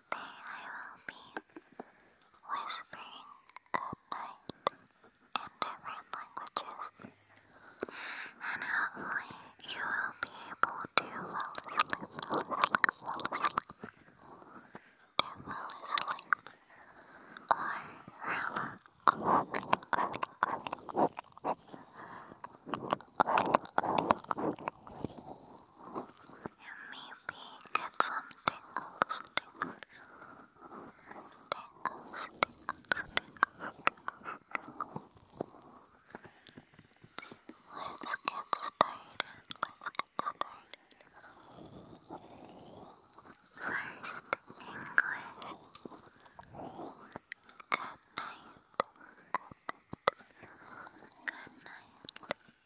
day I will be whispering good night in different languages, and hopefully you will be able to fall to fall asleep, and maybe get some tingles, tingles, tingles, tingles, tingles. Let's get started. Let's get started. First, English. Good night. Good night. Good night.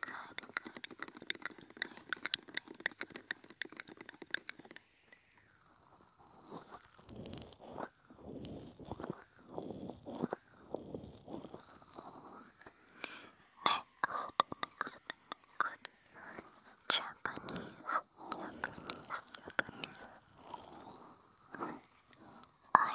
good, good, good, good night, good night, good I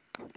Ranch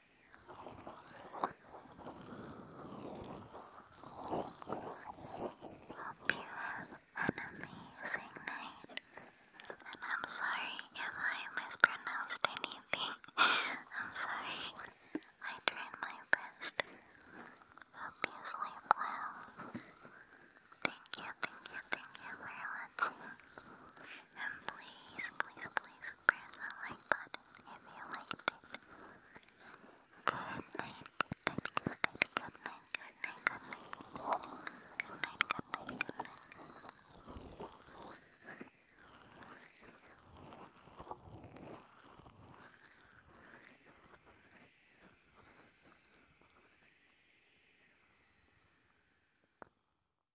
Hope you have an amazing night. I'm sorry if I mispronounced anything. I'm sorry. I tried my best. Hope you sleep well. Thank you, thank you, thank you for and please, please, please press the like button if you liked it. Good night, good night, good night, good night, good night, good night, good night, good night, good night.